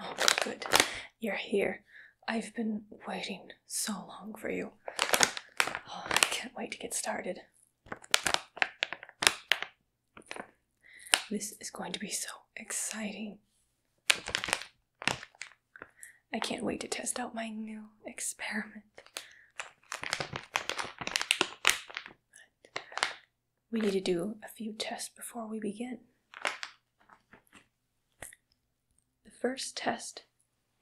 Oh, good. You're here. I've been waiting so long for you. Oh, I can't wait to get started. This is going to be so exciting. I can't wait to test out my new experiment. we need to do a few tests before we begin. The first test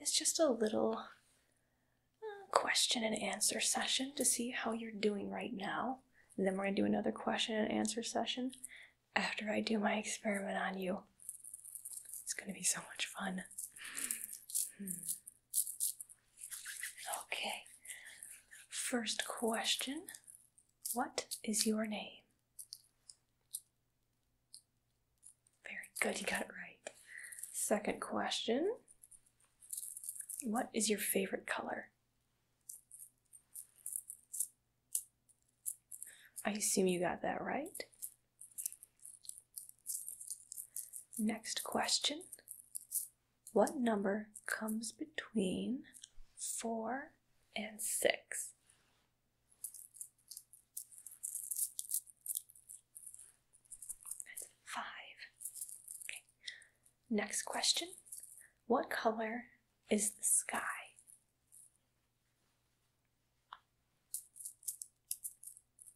is just a little uh, question and answer session to see how you're doing right now. then we're going to do another question and answer session after I do my experiment on you. It's gonna be so much fun. Hmm. Okay. First question What is your name? Very good, you got it right. Second question What is your favorite color? I assume you got that right. Next question What number comes between 4 and 6? 5. Okay. Next question What color is the sky?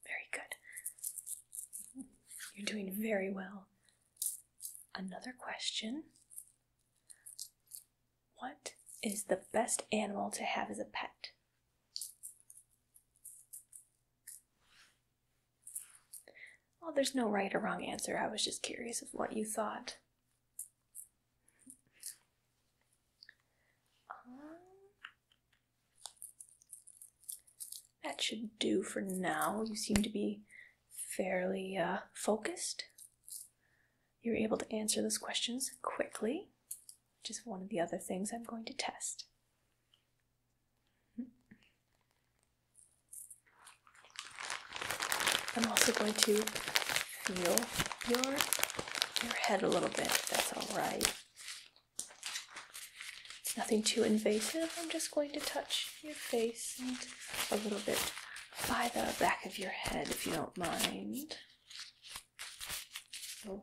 Very good. You're doing very well. Another question What is the best animal to have as a pet? Well, there's no right or wrong answer. I was just curious of what you thought. Um, that should do for now. You seem to be fairly uh, focused. You're able to answer those questions quickly, which is one of the other things I'm going to test. I'm also going to feel your your head a little bit. If that's all right. It's nothing too invasive. I'm just going to touch your face and a little bit by the back of your head, if you don't mind. Oh.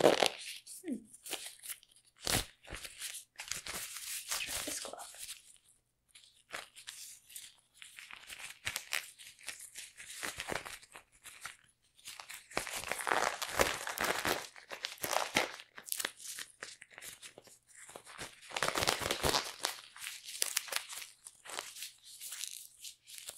Hmm. this glove.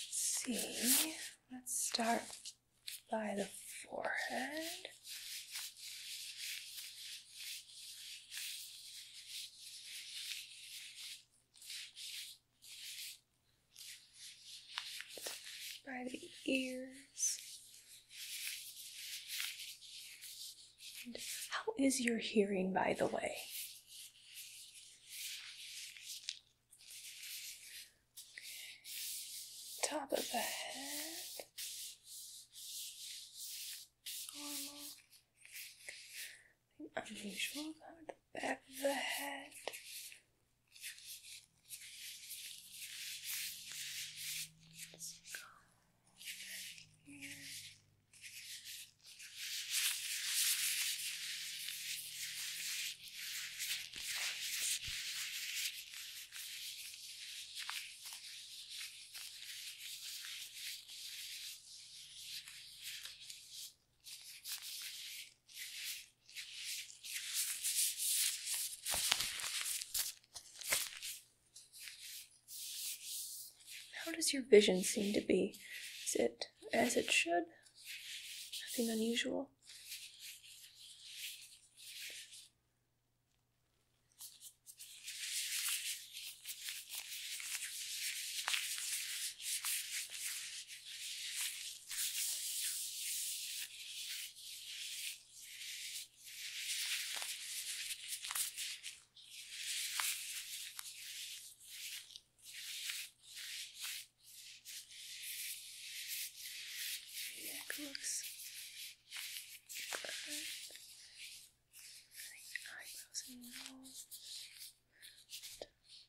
see, let's start by the forehead by the ears. how is your hearing, by the way? Top of the head. Normal unusual around the back of the head. here. How does your vision seem to be? Is it as it should? Nothing unusual? Neck looks good. Like eyebrows and nose. And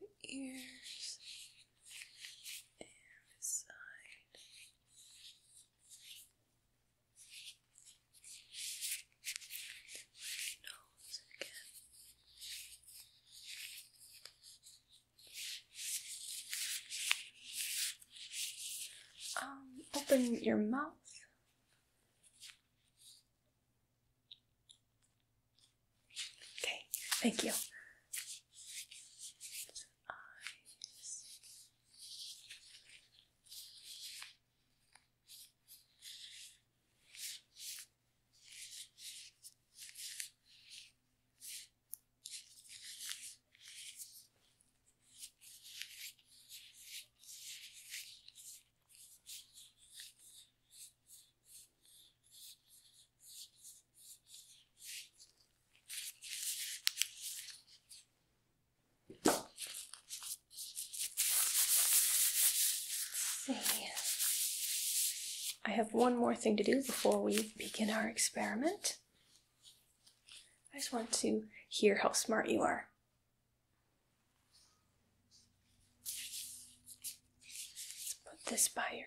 Looking at the ears and this side. Nose again. Um, open your mouth. Okay, thank you. See. I have one more thing to do before we begin our experiment. I just want to hear how smart you are. put this by your head.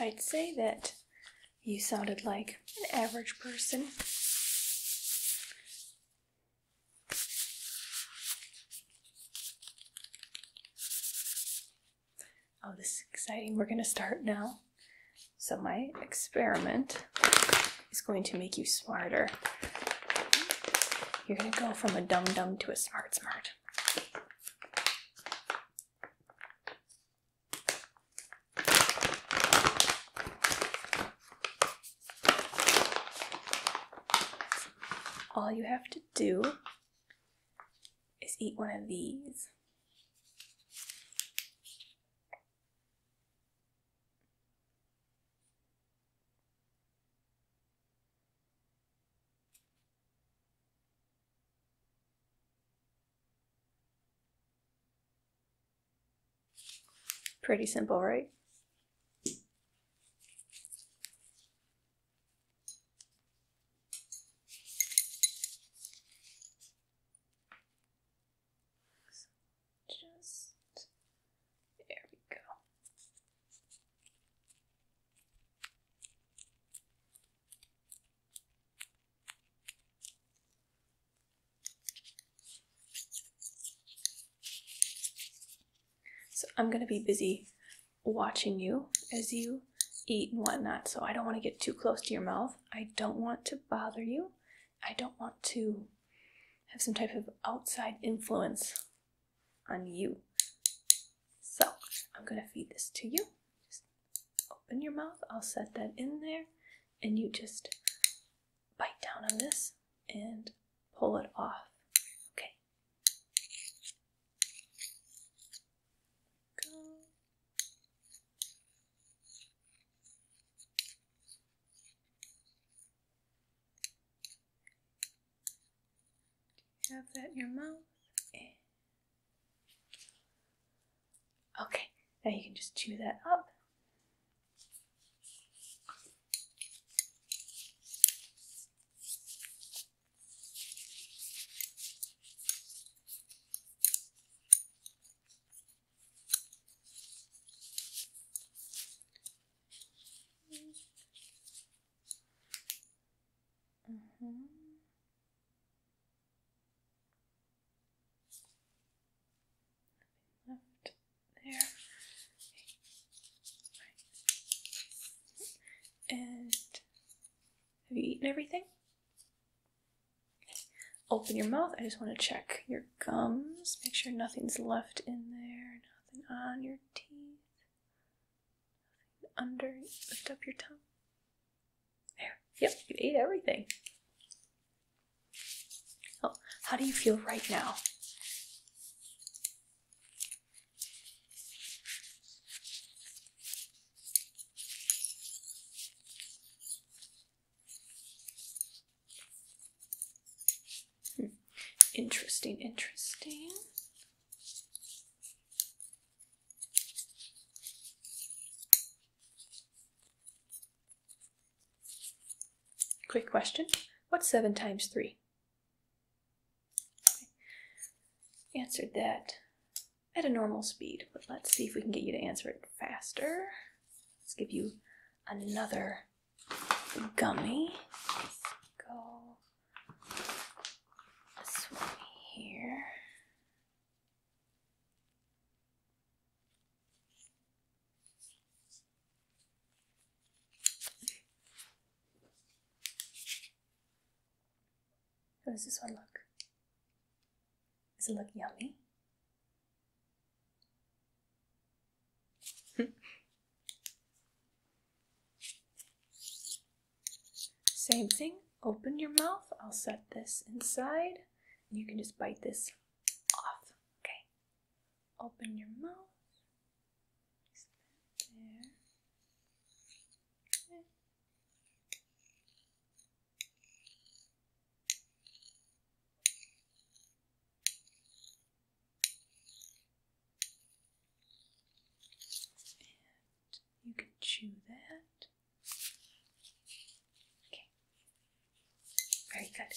I'd say that you sounded like an average person. Oh, this is exciting. We're going to start now. So my experiment is going to make you smarter. You're going to go from a dumb dumb to a smart smart. All you have to do is eat one of these. Pretty simple, right? So just there we go. So I'm going to be busy watching you as you eat and whatnot, so I don't want to get too close to your mouth. I don't want to bother you. I don't want to have some type of outside influence on you. So I'm going to feed this to you. Just open your mouth. I'll set that in there. And you just bite down on this and pull it off. Okay. Good have that in your mouth? Okay, now you can just chew that up. Mm -hmm. left there. And have you eaten everything? Open your mouth. I just want to check your gums. Make sure nothing's left in there, nothing on your teeth, under. Lift up your tongue. There. Yep, you ate everything. Oh, how do you feel right now? Hmm. Interesting, interesting. Quick question. What's 7 times 3? Answered that at a normal speed, but let's see if we can get you to answer it faster. Let's give you another gummy. go this here. How does this one look? Does it look yummy? Same thing, open your mouth. I'll set this inside and you can just bite this off. Okay. Open your mouth you can chew that. Okay. Very good.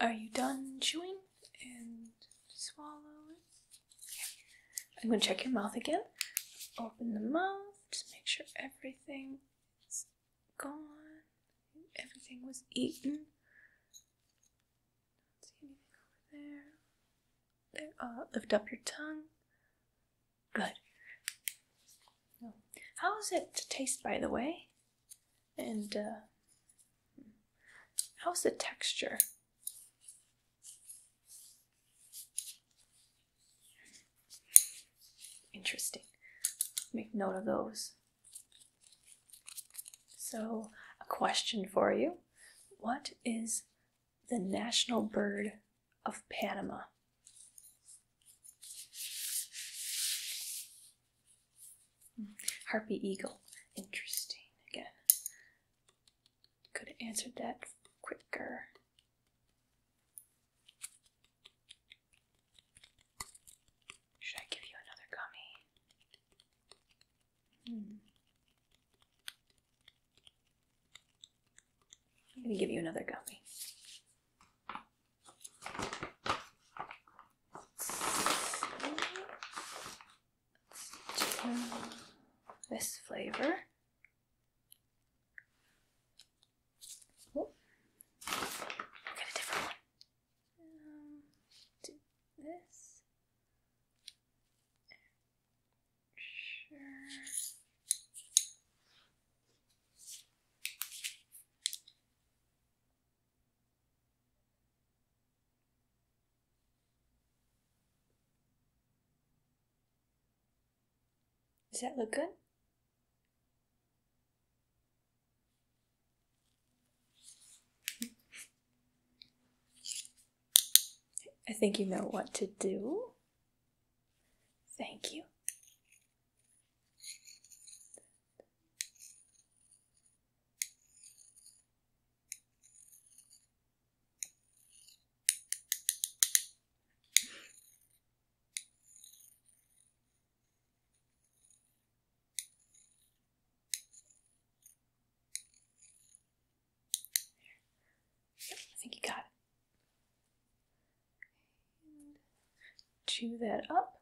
Are you done chewing? And swallowing? it. I'm going to check your mouth again. Open the mouth, just make sure everything has gone. Everything was eaten. see anything over there. There, uh, lift up your tongue. Good. How How is it to taste, by the way? And uh, how's the texture? Interesting. Make note of those. So, a question for you. What is the national bird of Panama? Harpy eagle. Interesting. Again. Could have answered that quicker. Should I give you another gummy? Hmm. I'm going to give you another gummy this flavor. Oh, get a different one. Um, this. Sure. Does that look good? I think you know what to do. Thank you. Yep, I think you got chew that up.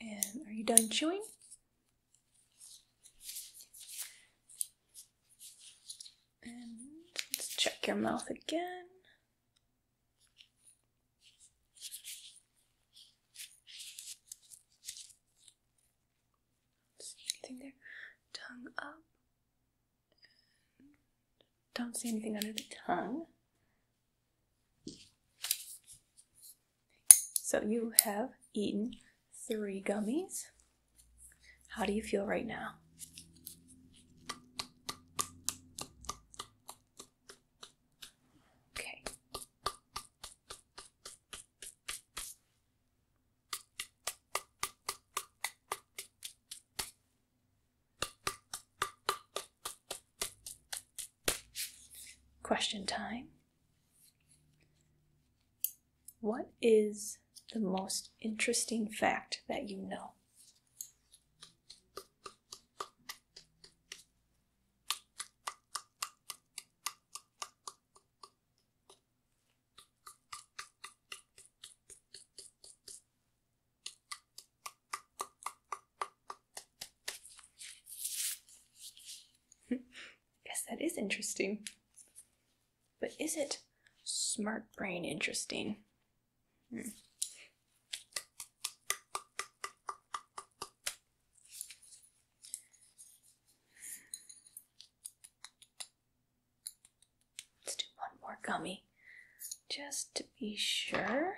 and are you done chewing? And let's check your mouth again. See anything there? Tongue up. don't see anything under the tongue. So you have eaten three gummies. How do you feel right now? Okay. Question time. What is the most interesting fact that you know? Yes, that is interesting. But is it smart brain interesting? Let's do one more gummy just to be sure.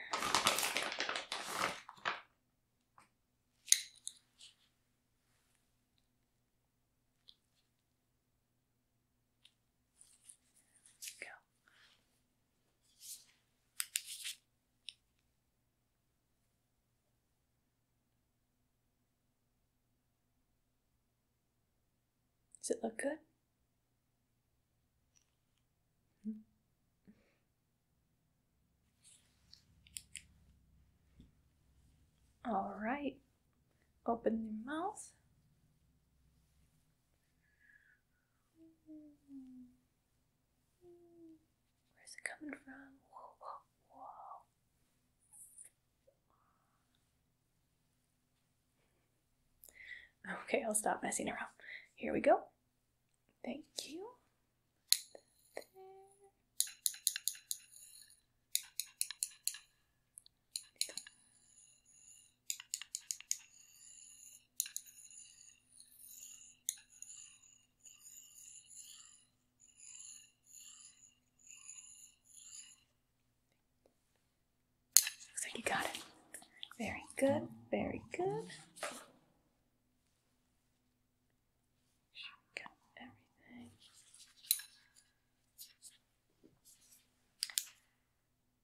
Does it look good? Mm-hmm. All right, open your mouth. Where's it coming from? Whoa, whoa, whoa. Okay, I'll stop messing around. Here we go. Thank you. Looks like you got it. Very good, very good. Got everything.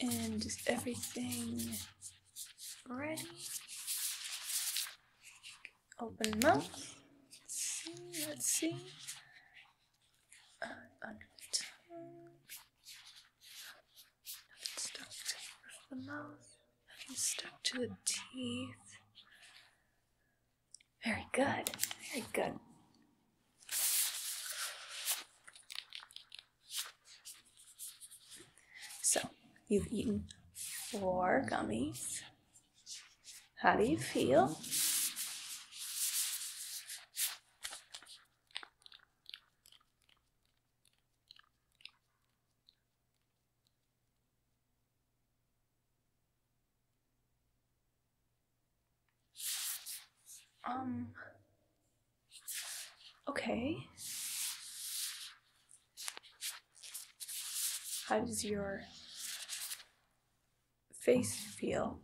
and just everything ready. Open mouth. Let's see, let's see. Uh, under the tongue. Nothing stuck to the mouth. Nothing stuck to the teeth. Very good. Very good. So, you've eaten four gummies. How do you feel? Um, Okay. How does your face feel?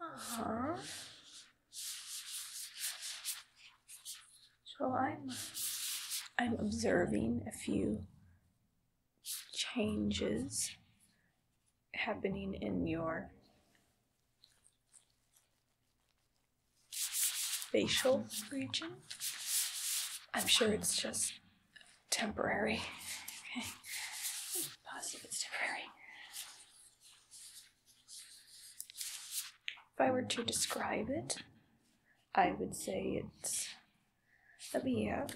Uh -huh. So I'm I'm observing a few changes happening in your facial region. I'm sure it's just temporary. Okay. i temporary. If I were to describe it, I would say it's let me, uh, uh,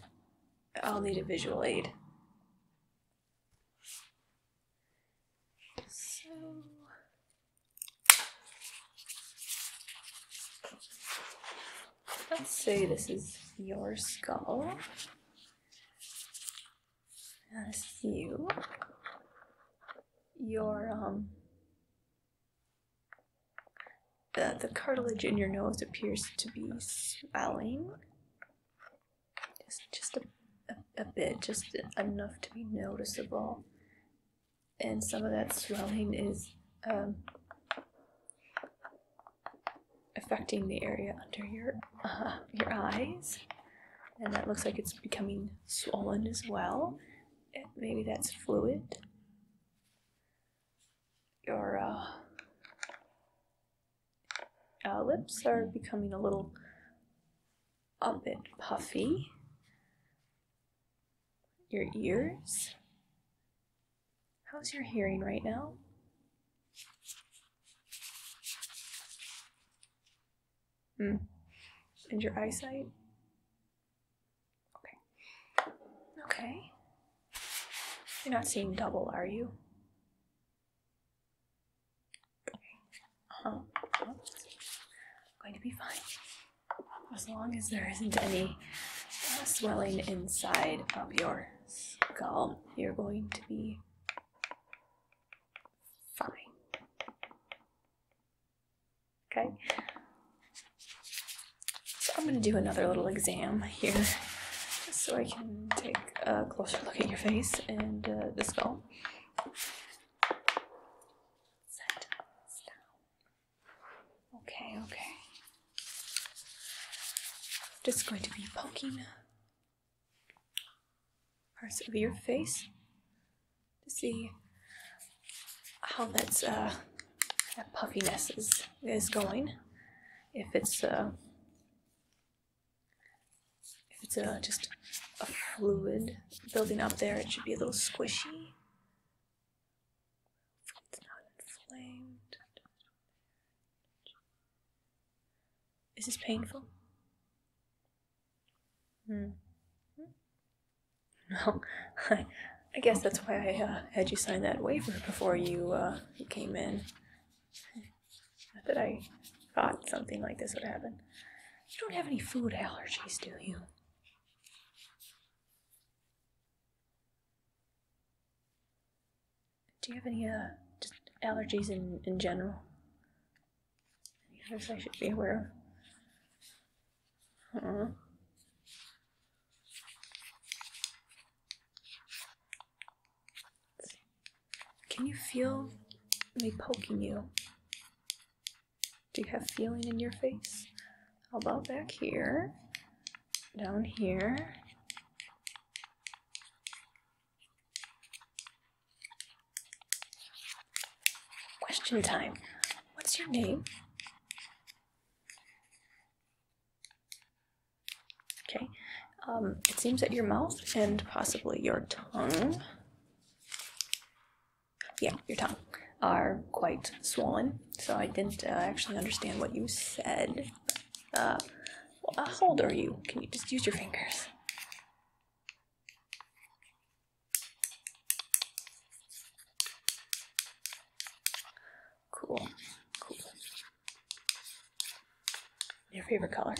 I'll need a visual aid. So. Let's say this is your skull. And this is Your, um, the, the cartilage in your nose appears to be swelling. Just, just a, a, bit, just enough to be noticeable. And some of that swelling is um, affecting the area under your uh, your eyes, and that looks like it's becoming swollen as well. Maybe that's fluid your uh, uh, lips are becoming a little a bit puffy. Your ears. How's your hearing right now? Hmm. And your eyesight? Okay. Okay. You're not seeing double, are you? Um, going to be fine as long as there isn't any uh, swelling inside of your skull. You're going to be fine. Okay. So I'm gonna do another little exam here, so I can take a closer look at your face and uh, the skull. Okay, okay. Just going to be poking parts of your face to see how that's uh, that puffiness is, is going. If it's a, uh, if it's a, uh, just a fluid building up there, it should be a little squishy. It's not inflamed. Is this painful? Hmm. No, I guess that's why I uh, had you sign that waiver before you uh, you came in. Not that I thought something like this would happen. You don't have any food allergies, do you? Do you have any uh, allergies in, in general? Any others I should be aware of? uh can you feel me poking you? Do you have feeling in your face? How about back here? Down here? Question time. What's your name? Okay, um, it seems that your mouth and possibly your tongue, yeah, your tongue, are quite swollen. So I didn't uh, actually understand what you said. Uh, how old are you? Can you just use your fingers? Cool. Cool. Your favorite color?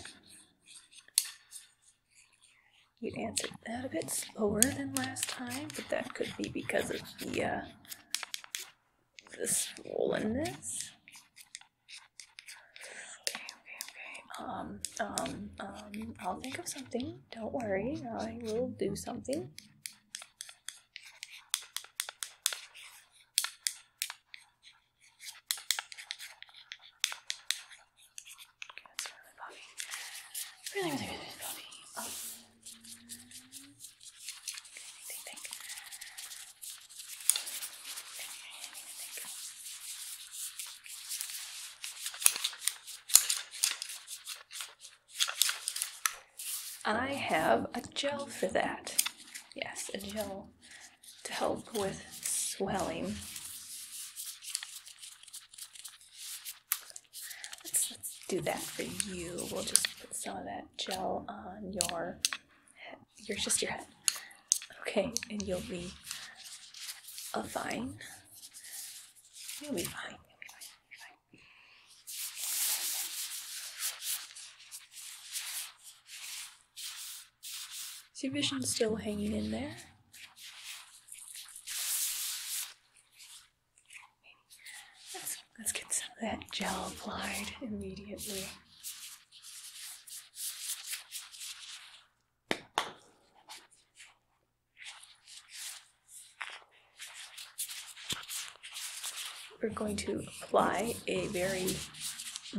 You answered that a bit slower than last time, but that could be because of the, uh, the swollenness. Okay, okay, okay. Um, um, um, I'll think of something. Don't worry, I will do something. Okay, that's really puffy. Really, really, really puffy. Oh. Okay, think, think, think. Think, think, think. I have a gel for that. Yes, a gel to help with swelling. Let's, do that for you. We'll just put some of that gel on your head. you just your head. Okay, and you'll be uh, fine. You'll be fine. You'll be fine. You'll be fine. See vision's still hanging in there. let's get some of that gel applied immediately we're going to apply a very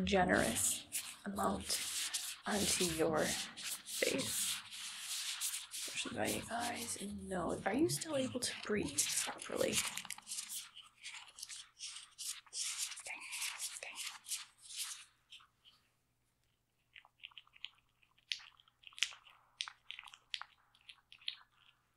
generous amount onto your face. eyes and nose. Are you still able to breathe properly?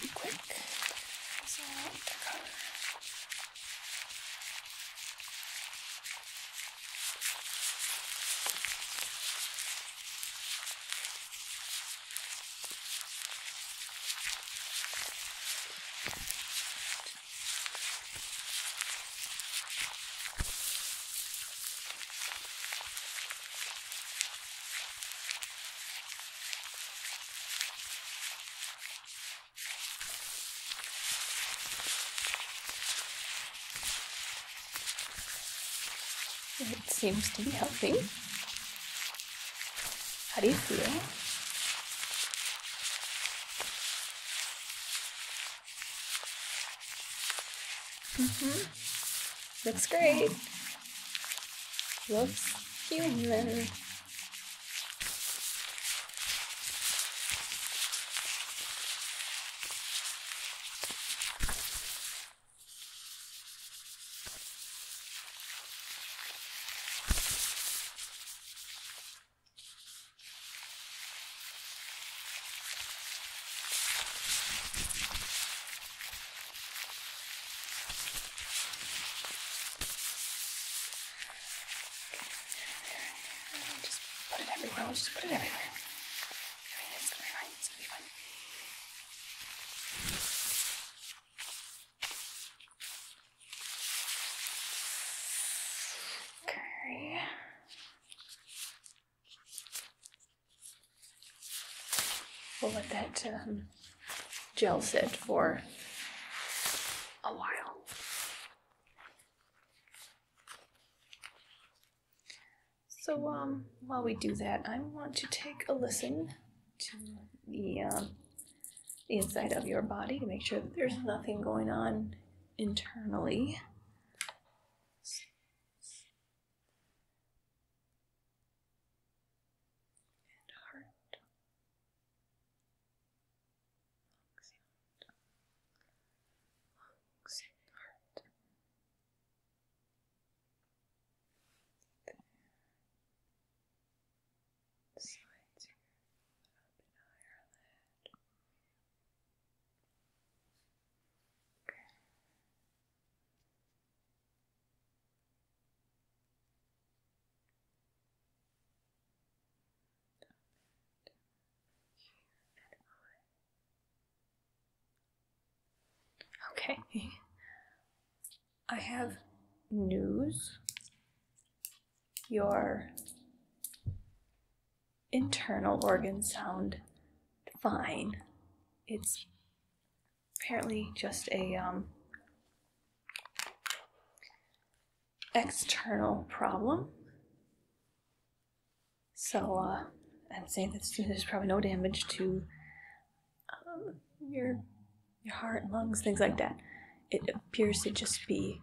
Be quick. So I like the color. It seems to be helping. How do you feel? Mm hmm Looks great. Looks human. I'll just put it everywhere. I'll just put it everywhere. I mean, it's gonna be fine. It's gonna be fine. Okay. We'll let that um, gel sit for a while. So um, while we do that, I want to take a listen to the, um, the inside of your body to make sure that there's nothing going on internally and heart. Lungs out. Lungs and heart. There. Sides here, up and higher lid. Okay. I have news. Your internal organs sound fine. It's apparently just a um, external problem. So uh, I'm saying that there's probably no damage to um, your your heart, lungs, things like that. It appears to just be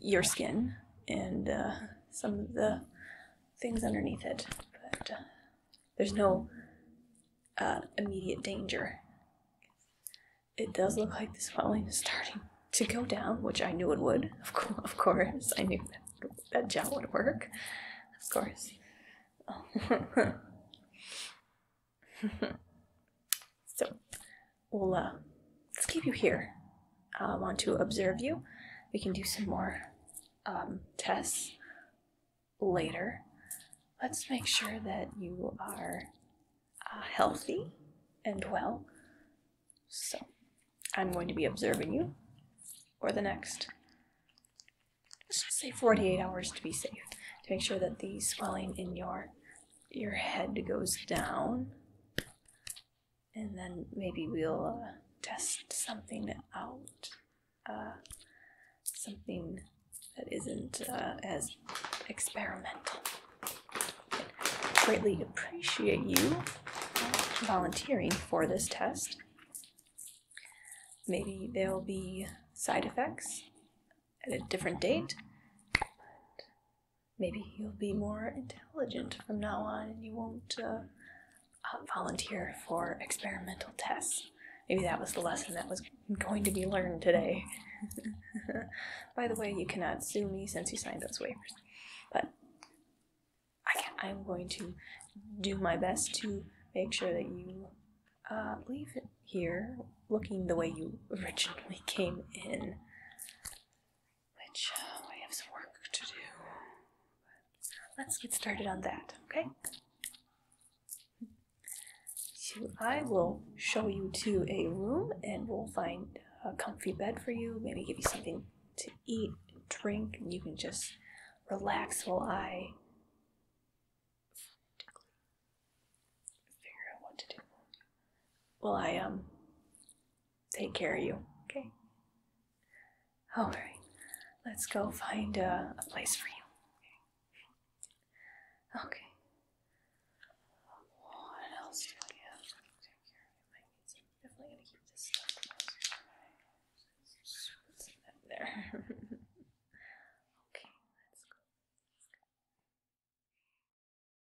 your skin and uh, some of the things underneath it, but uh, there's no uh, immediate danger. It does look like the swelling is starting to go down, which I knew it would. Of, co- of course, I knew that, gel would work. Of course. So we'll uh, let's keep you here. I want to observe you. We can do some more um, tests later. Let's make sure that you are uh, healthy and well. So I'm going to be observing you for the next, let's say 48 hours to be safe, to make sure that the swelling in your your head goes down and then maybe we'll uh, test something out. Uh, something that isn't uh, as experimental. I greatly appreciate you volunteering for this test. Maybe there'll be side effects at a different date maybe you'll be more intelligent from now on and you won't uh, um, volunteer for experimental tests. Maybe that was the lesson that was going to be learned today. By the way, you cannot sue me since you signed those waivers. But I am going to do my best to make sure that you uh, leave here looking the way you originally came in which uh, we have some work to do. let's get started on that, okay? So I will show you to a room and we'll find a comfy bed for you, maybe give you something to eat, drink, and you can just relax while I figure out what to do. Well, I um take care of you. Okay? All right. Let's go find a, place for you. Okay. What else do I have? Definitely gonna keep this stuff there.